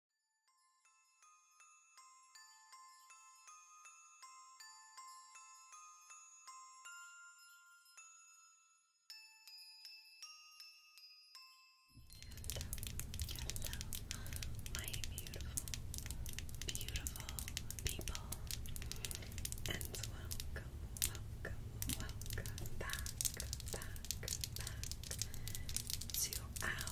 Hello, my beautiful, beautiful people, and welcome, welcome, welcome back, back, back to our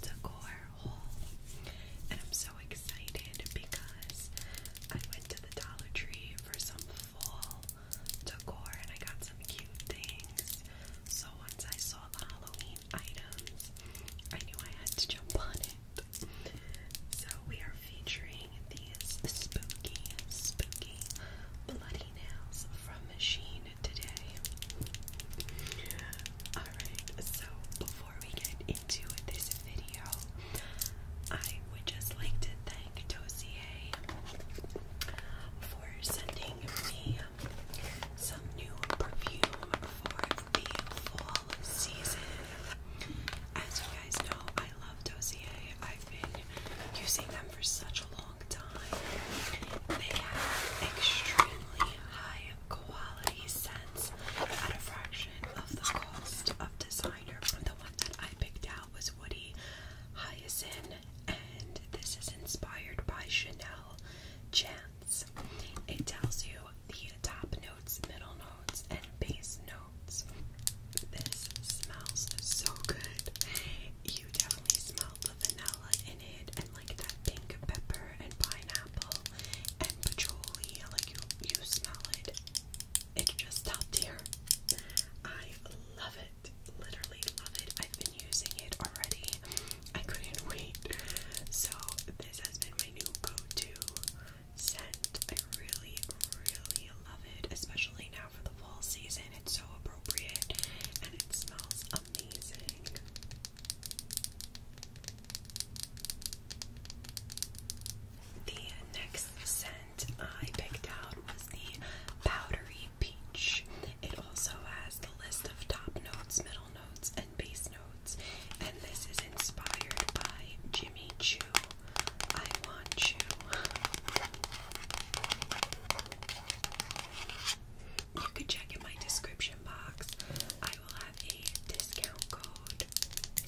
decor haul. And I'm so excited because I went to the Dollar Tree for some fall decor and I got some cute things. So once I saw the Halloween items, I knew I had to jump on it. So we are featuring these spooky, spooky bloody nails from Machine today. Alright, so before we get into this video, I would just like to thank Dossier for sending me some new perfume for the fall season. As you guys know, I love Dossier. I've been using them for such a long. They have extremely high quality scents at a fraction of the cost of designer. The one that I picked out was Woody Hyacinth, and this is inspired by Chanel Chance. It tells you the top notes, middle notes, and base notes. This smells so good. You definitely smell smell the vanilla in it and like that pink pepper and pineapple and patchouli. Like you, you smell it. It's just top tier. I love it. Literally love it. I've been using it already. I couldn't wait. So this has been my new go-to scent. I really, really love it, especially now for the fall season. It's so appropriate and it smells amazing. The next scent I picked out was the powdery peach. It also has the list of top notes, middle notes, and base notes. And this is inspired by Jimmy Choo. I want you you can check in my description box. I will have a discount code.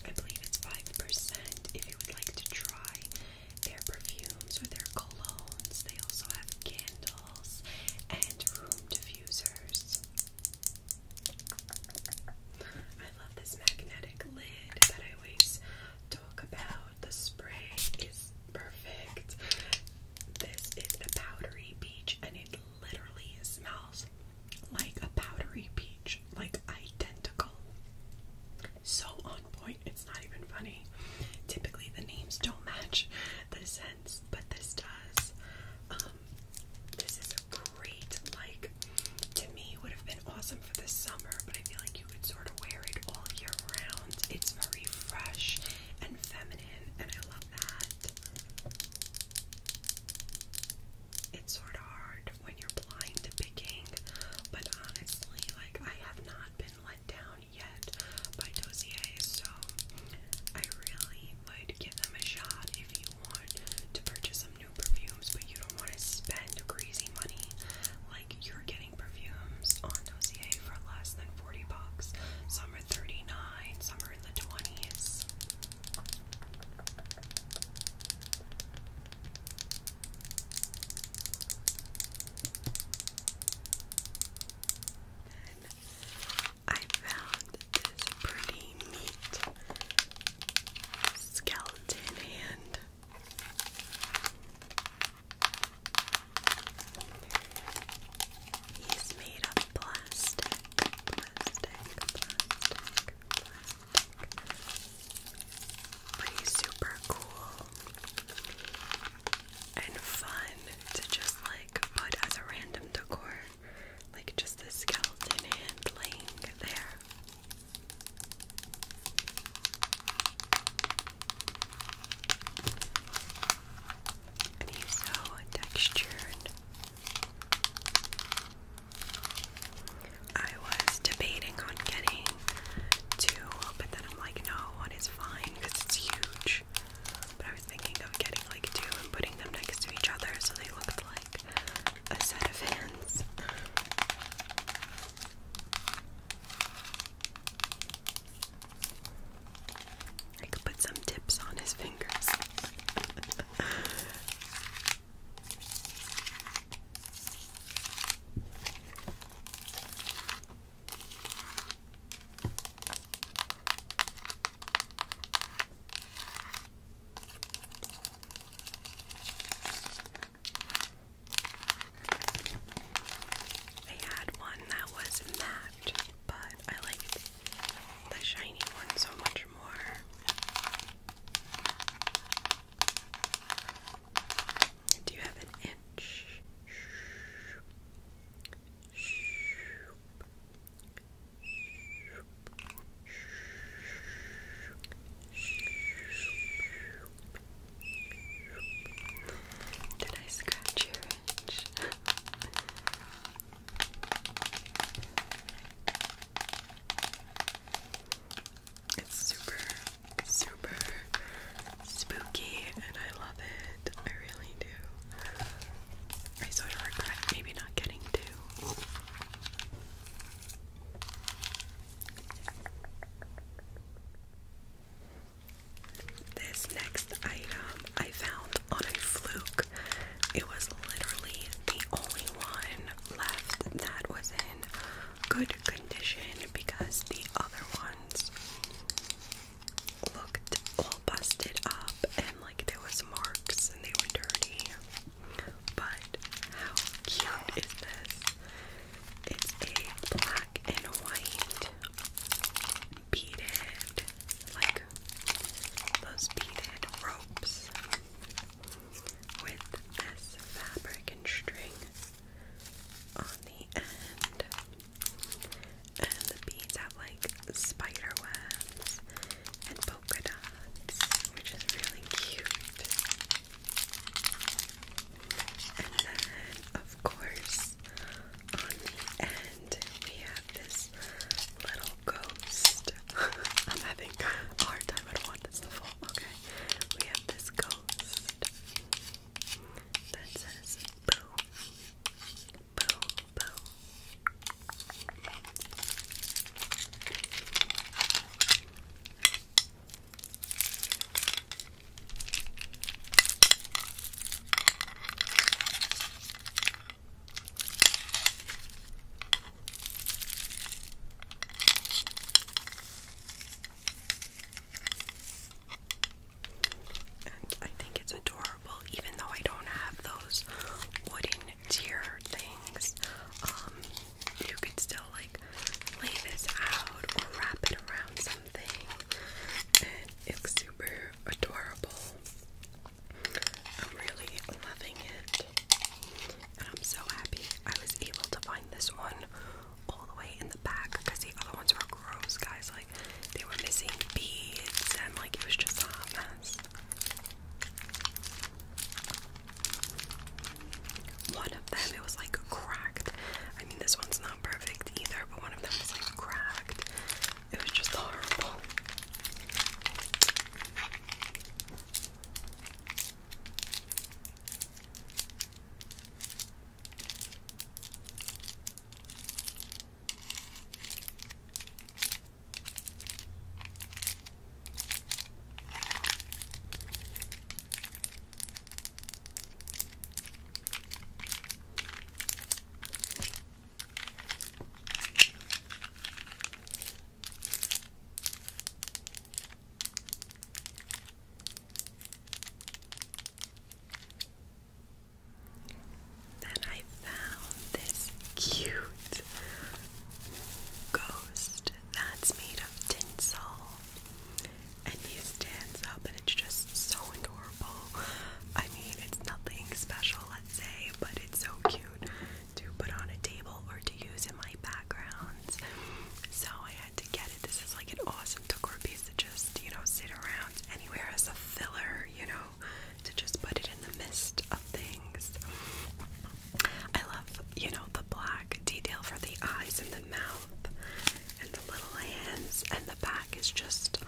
I believe it's 5% if you would like to try their perfumes or their colognes. They also have candles and room diffusers. I love this magnetic lid that I always talk about. The spray perfect. This is the powdery peach, and it literally smells like a powdery peach, like identical. So on point, it's not even funny. Typically, the names don't match the scents, but this does. Um, this is a great, like, to me, would have been awesome for the summer, but I feel like you could sort of wear it all year round. It's very fresh and feminine, and I love that. It's sort of hard when you're blind picking, but honestly, like I have not been let down yet by Dozier, so I really would give them a shot if you want to purchase some new perfumes, but you don't want to spend crazy money. Like you're getting perfumes on Dozier for less than 40 bucks. Some are 39, some over in I found this pretty neat skeleton hand. He's made of plastic, plastic, plastic, plastic. But he's super cool and fun to just like put as a random decor. Like just the skeleton hand there and he's so textured. I was debating on getting two, but then I'm like, no, one is fine because it's huge. But I was thinking of getting like two and putting them next to each other so they looked like a set of hands. I could put some tips on his fingers. I had one that was matte, but I liked the shiny one so much more. Do you have an itch? Did I scratch your it's super, super spooky, and I love it. I really do. I sort of regret maybe not getting two. This next item I found on a fluke. It was literally the only one left that was in good condition because the other ones looked all busted up and like there was marks and they were dirty. But how cute is this? It's a black and white beaded, like those beaded ropes with this fabric and string on the end. And the beads have like spider webs and polka dots, which is really cute. And then, of course, on the end. And we have this little ghost. I'm having hard time. I don't want this Okay. We have this ghost that says boo. Boo, boo. I think it's adorable, even though I don't have those wooden tier things. Um, you could still like lay this out or wrap it around something, and it's super adorable. I'm really loving it. And I'm so happy I was able to find this one all the way in the back because the other ones were gross, guys. Like, they were missing beads and, like, it was just a hot mess. One of them, it was like cracked. I mean, this one's not perfect either, but one of them was like cracked. It was just horrible. Then I found this cute ghost that's made of tinsel. And he stands up, and it's just so adorable. I mean, it's nothing special bronze, but it's so cute to put on a table or to use in my backgrounds. So I had to get it. This is like an awesome decor piece to just, you know, sit around anywhere as a filler, you know, to just put it in the midst of things. I love, you know, the black detail for the eyes and the mouth and the little hands and the back is just,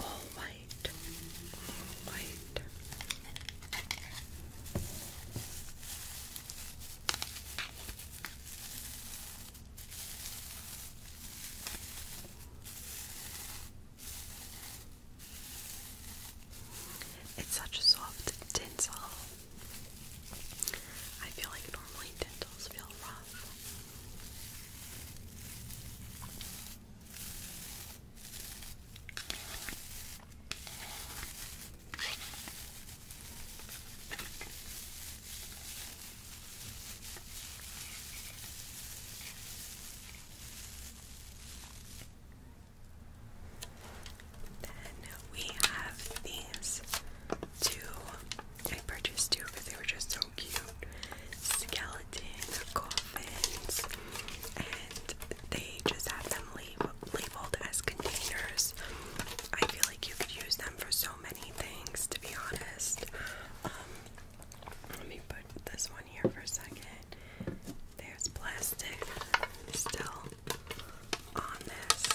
oh my it's such a soft tinsel. I feel like normally tinsels feel rough. Then we have these two. I purchased two because they were just so cute gelatin and they just have them labeled as containers. I feel like you could use them for so many things, to be honest. Um, let me put this one here for a second. There's plastic still on this.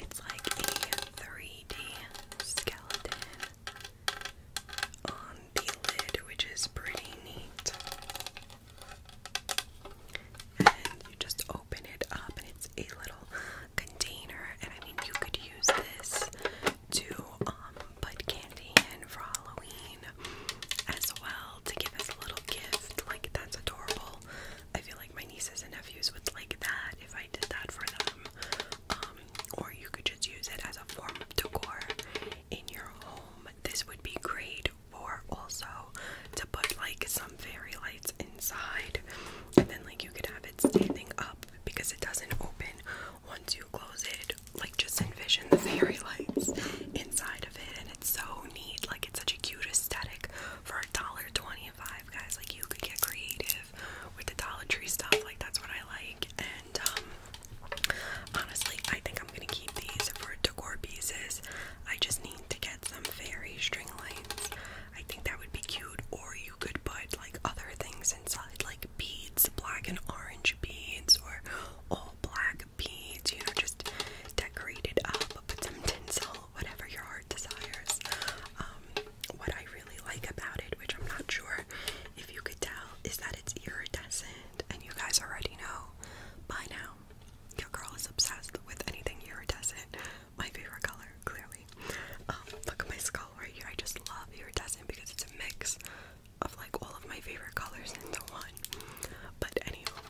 It's like a 3D skeleton on the lid, which is pretty neat. And you just open it up, and it's a little container. And I mean, you could use this to um, put candy in for Halloween as well to give as a little gift. Like, that's adorable. I feel like my nieces and nephews would like that if I did that for them. Um, or you could just use it as a form of decor in your home. This would be great for also to put like some fairy lights inside, and then like you could have it standing up because it doesn't open once you close it. Like just envision the fairy lights inside of it, and it's so neat. Like it's such a cute aesthetic for a dollar twenty-five, guys. Like you could get creative with the Dollar Tree stuff. Like that's what I like. And um, honestly, I think I'm gonna keep these for decor pieces. I just need to get some fairy string lights. I think that would be cute. Or you could put like other things inside, like beads, black and orange beads, or all black beads. You know, just decorate it up. Put some tinsel, whatever your heart desires. Um, what I really like about it, which I'm not sure if you could tell, is that it's iridescent, and you guys already know by now. Your girl is obsessed with anything iridescent. My favorite color, clearly. Um, look at my skull right here. I just love iridescent because it's a mix of like all of my favorite colors into one. But anyway,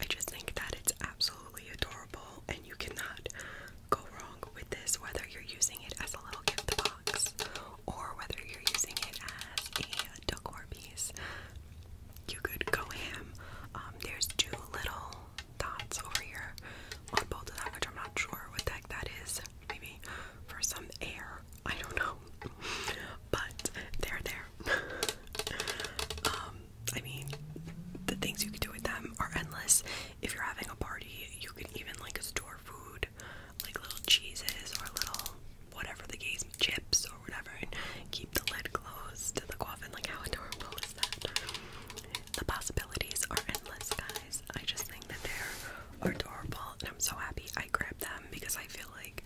I just think that it's absolutely adorable, and you cannot go wrong with this, whether you're using it as a little gift box or whether you're using it as a decor piece. You could go ham. Um, there's two little dots over here on both of them, I'm not sure what the heck that is. Maybe for some air. I don't know. But they're there. Um, I mean, the things you could do with them are endless. If you're having a party, you could even like store food like little cheeses or little whatever the case, chips or whatever, and keep the lid closed to the coffin. Like, how adorable is that? The possibilities are endless, guys. I just think that they're adorable, and I'm so happy I grabbed them because I feel like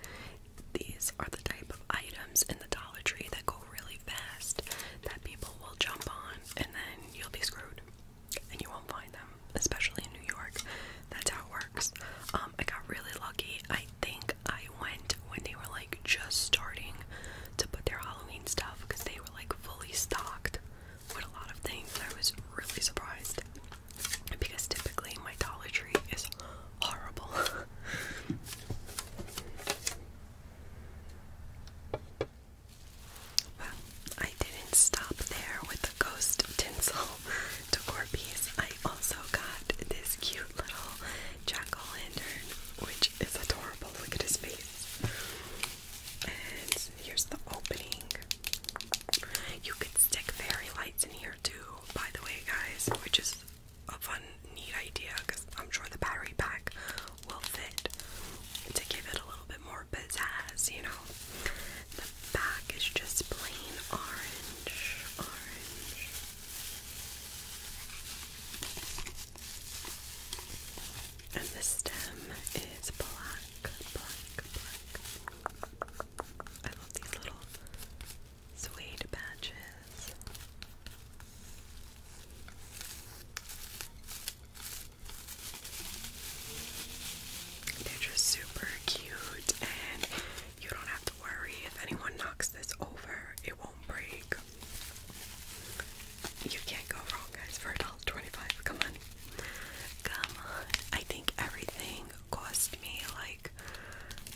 these are the type of items in the Dollar Tree that go really fast that people will jump on, and then you'll be screwed and you won't find them, especially in New York. That's how it works. Um, I got really lucky. I think I went when they were like just starting to put their Halloween stuff because they were like fully stocked with a lot of things. I was really surprised because typically my Dollar Tree is horrible. Well, I didn't stop there with the ghost tinsel decor piece. I also got this cute little jack-o'-lantern, which is adorable. Look at his face. And here's the opening. You could stick fairy lights in here too, by the way, guys, which is a fun, neat idea because I'm sure the battery pack will fit to give it a little bit more pizzazz, you know. The back is just plain orange, And the stem is black, I love these little suede patches. They're just super cute, and you don't have to worry if anyone knocks this over, it won't break. You can't go wrong, guys, for $1.25. Come on. Come on. I think everything cost me like,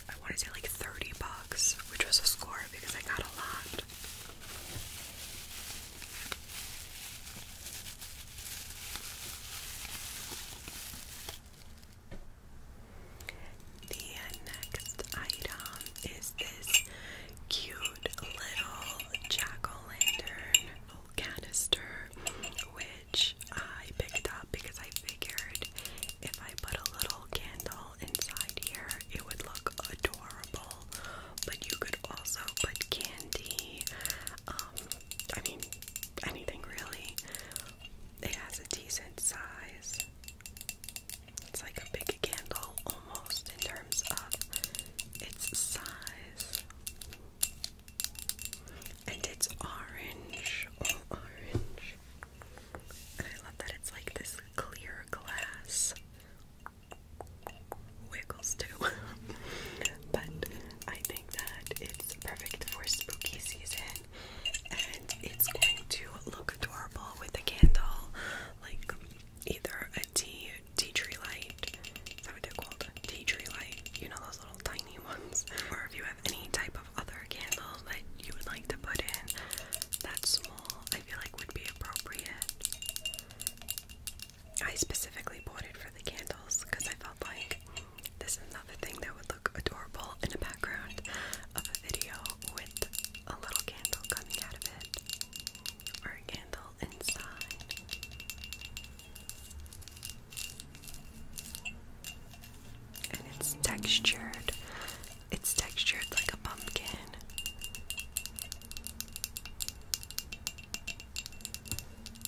I want to say like 30 bucks, which was a score because I got a lot. The next item is this cute little jack o' lantern canister, which I picked up because I figured if I put a little candle inside here, it would look adorable. But you could also put candy. Um, I mean, anything really. It has a decent size. It's like a big candle almost in terms of its size. And it's orange, all oh, orange. I love that it's like this clear glass wiggles too. but I think that it's perfect for spooky season and it's going to look adorable with a candle, like either a tea tea tree light. Is that what they're called? Tea tree light. You know those little tiny ones. Or if you have any type of other candle that you would like to put in that small, I feel like would be appropriate. I specifically bought it for the candles because I felt like this is another thing that would look adorable in the background of a video with a little candle coming out of it or a candle inside. And it's textured. It's textured like a pumpkin.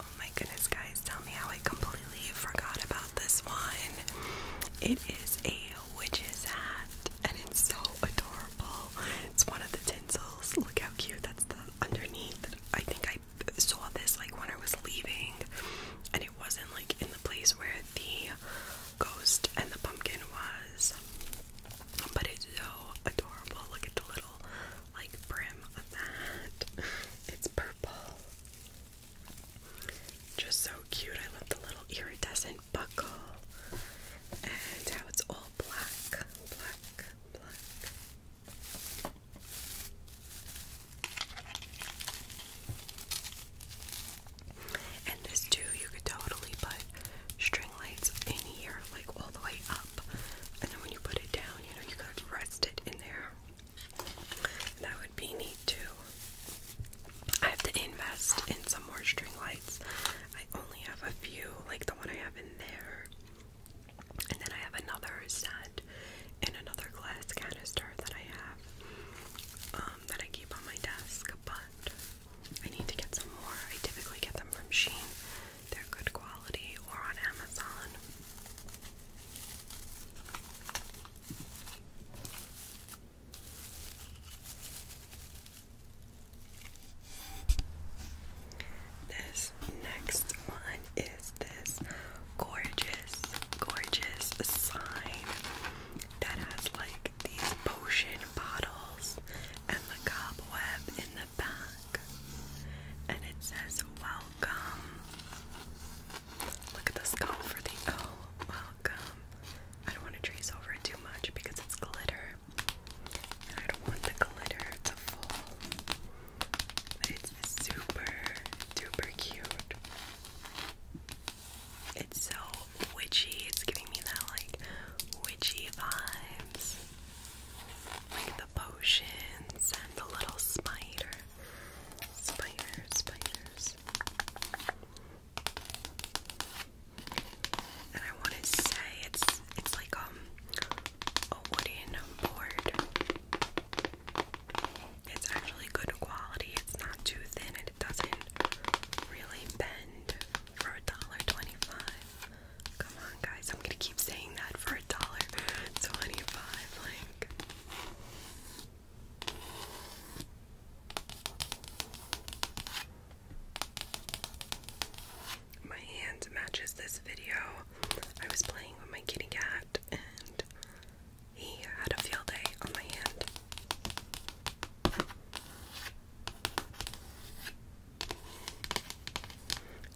Oh my goodness, guys, tell me how I completely forgot about this one. It is a witch's hat and it's so adorable. It's one of the tinsels. Look how cute. That's the underneath. I think I saw this like when I was leaving, and it wasn't like in the place where the ghost and the pumpkin was. But it's so adorable. Look at the little like brim of that. It's purple. Just so cute. I love the little iridescent buckle and how it's all black, black, black. And this too, you could totally put string lights in here, like all the way up. And then when you put it down, you know, you could rest it in there. That would be neat too. I have to invest in some more string lights. I only have a few, like the one I have in there. And then I have another set in another glass canister that I have um, that I keep on my desk, but I need to get some more. I typically get them from Sheen, they're good quality, or on Amazon. This next one is this gorgeous, gorgeous sign that has like these potion bottles and the cobweb in the back. And it says, Welcome. Look at the skull for the O. Oh, welcome. I don't want to trace over it too much because it's glitter. I don't want the glitter to fall. it's super duper cute. It's so witchy. It's giving me that like witchy vibes. Like the potions and the little spider. spiders, spiders. And I want to say it's it's like um a wooden board. It's actually good quality. It's not too thin and it doesn't really bend for a dollar twenty-five. Come on, guys! I'm gonna keep saying that for a dollar twenty-five. Like. My hand matches this video. I was playing with my kitty cat and he had a field day on my hand.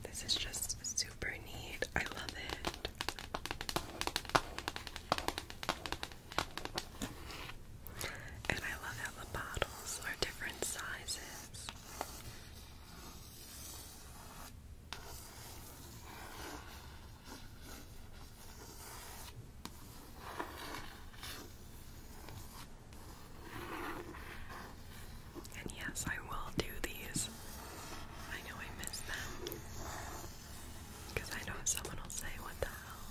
This is just super neat. I love it. And I love how the bottles are different sizes. And yes, I will do these. I know I miss them. Because I know someone will say, What the hell?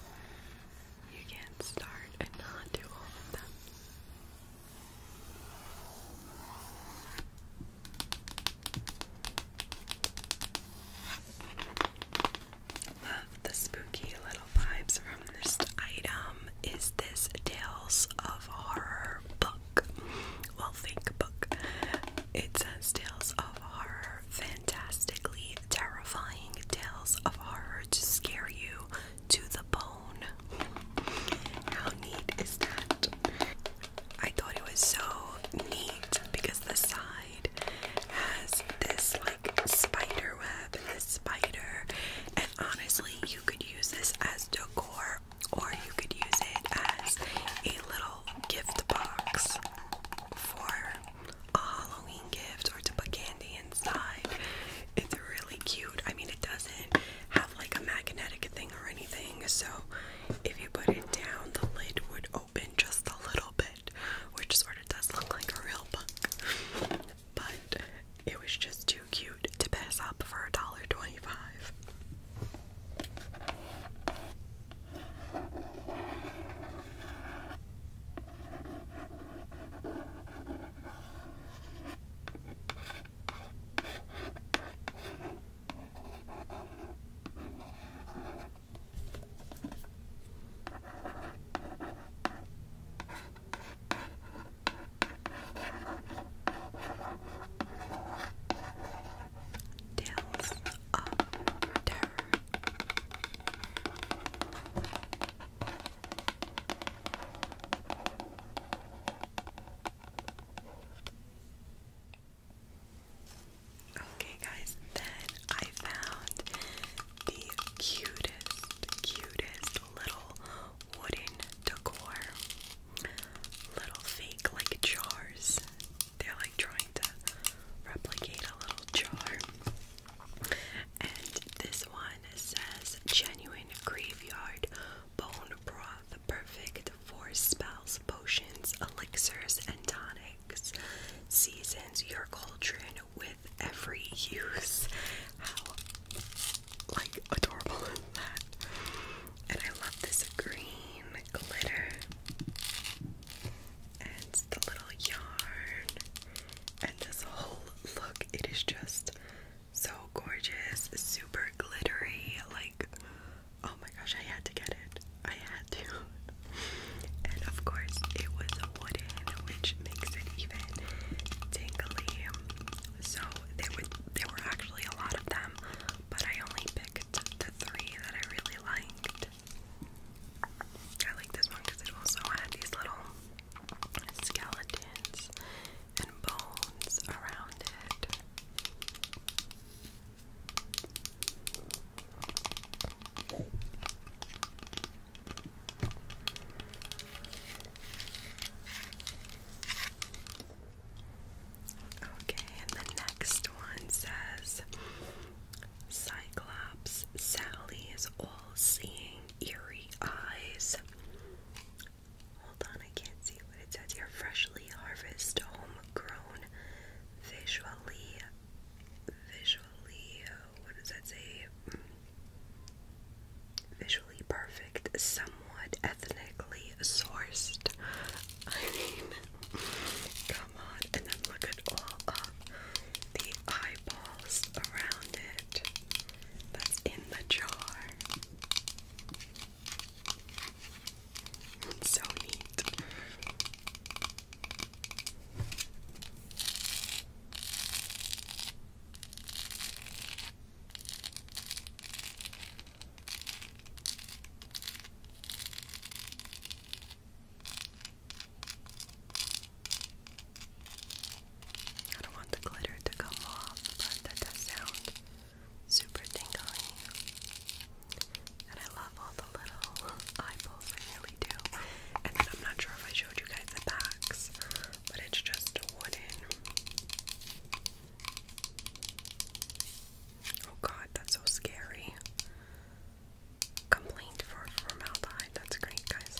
You can't start and not do all of them. Love the spooky little vibes from this item. Is this Tales of Horror book? Well, think book. It says Tales of Horror, fantastically terrifying tales of horror to scare you to the bone. How neat is that? I thought it was so neat because the side has this like spider this spider, and honestly, you could use this as decor or you could use it as a little gift box for a Halloween gift or to put candy inside. It's really cute. I mean, it doesn't have like a magnetic thing or anything, so if you put it down, the lid would open just a little bit, which sort of does look like a real book. But it was just too cute to pass up for $1.25. Tales of Okay, guys, then I found the cutest, cutest little wooden decor. Little fake, like jars. They're like trying to replicate a little jar. And this one says genuine graveyard bone broth, perfect for spells, potions, elixirs, and tonics. Seasons your cauldron with every use. like adorable that? And I love this green glitter. And the little yarn and this whole look, it is just so gorgeous, super glittery. Like, oh my gosh, I had to get it. I had to. And of course, it was wooden, which makes it even tingly. So there were there were actually a lot of them, but I only picked the three that I really liked. I like this one because it also had these little skeletons and bones around it. Okay, and the next one says Cyclops Sally is old seeing eerie eyes. Hold on, I can't see what it says here. Freshly harvest, homegrown, visually, visually, what does that say? Visually perfect, somewhat ethnically sourced. I mean, come on, and then look at all the eyeballs around it that's in the jar. so neat. I don't want the glitter to come off, but that does sound super tingly. And I love all the little eyeballs, I really do. And then I'm not sure if I showed you guys the backs, but it's just wooden. Oh god, that's so scary. Complaint for formaldehyde, that's great, guys.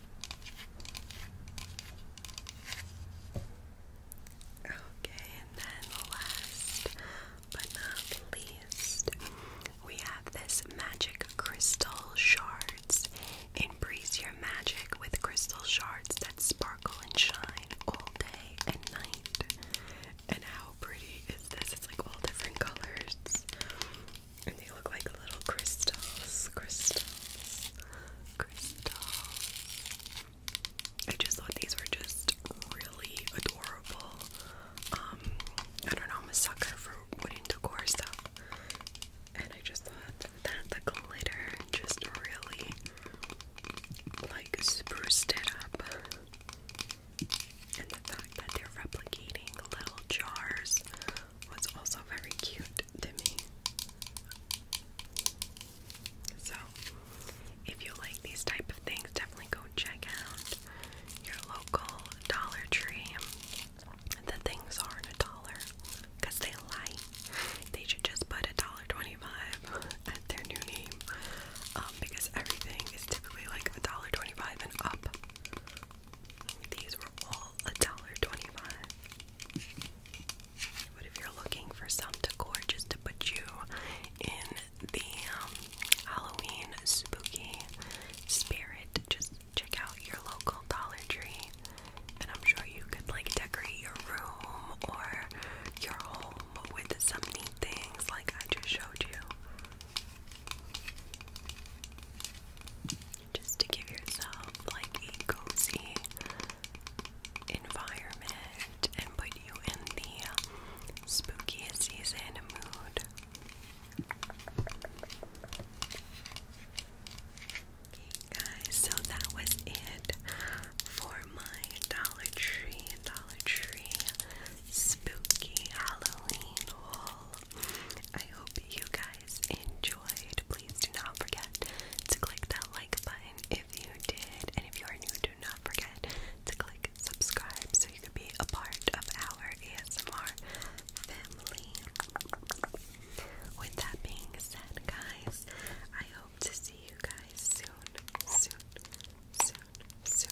Okay, and then last but not least, we have this magic crystal shards. Embrace your magic with crystal shards that sparkle and shine all day and night. And how pretty is this? It's like all different colors. And they look like little crystals. Crystals crystals. I just thought these were just really adorable. Um, I don't know, I'm a sucker for wooden decor stuff. And I just thought that the glitter just really like spruced it up. And the fact that they're replicating little jars was also very cute to me. So, if you like these type of things, definitely go check out your local Dollar Tree. The things are a dollar because they lie. They should just put a dollar twenty-five at their new name um, because everything is typically like a dollar twenty-five and up. These were a dollar twenty-five. But if you're looking for some decor just to put you in the um, Halloween spooky spirit, just check out your local Dollar Tree, and I'm sure you could like decorate your room or your home with some neat things like I just showed you just to give yourself like a cozy environment and put you in the spookiest season mood. Okay, guys, so that was it for my Dollar Tree, Dollar Tree spooky Halloween haul. I hope you guys enjoyed, please do not forget to click that like button if you did. And if you are new, do not forget to click subscribe so you can be a part of our ASMR family. With that being said, guys, I hope to see you guys soon, soon, soon, soon.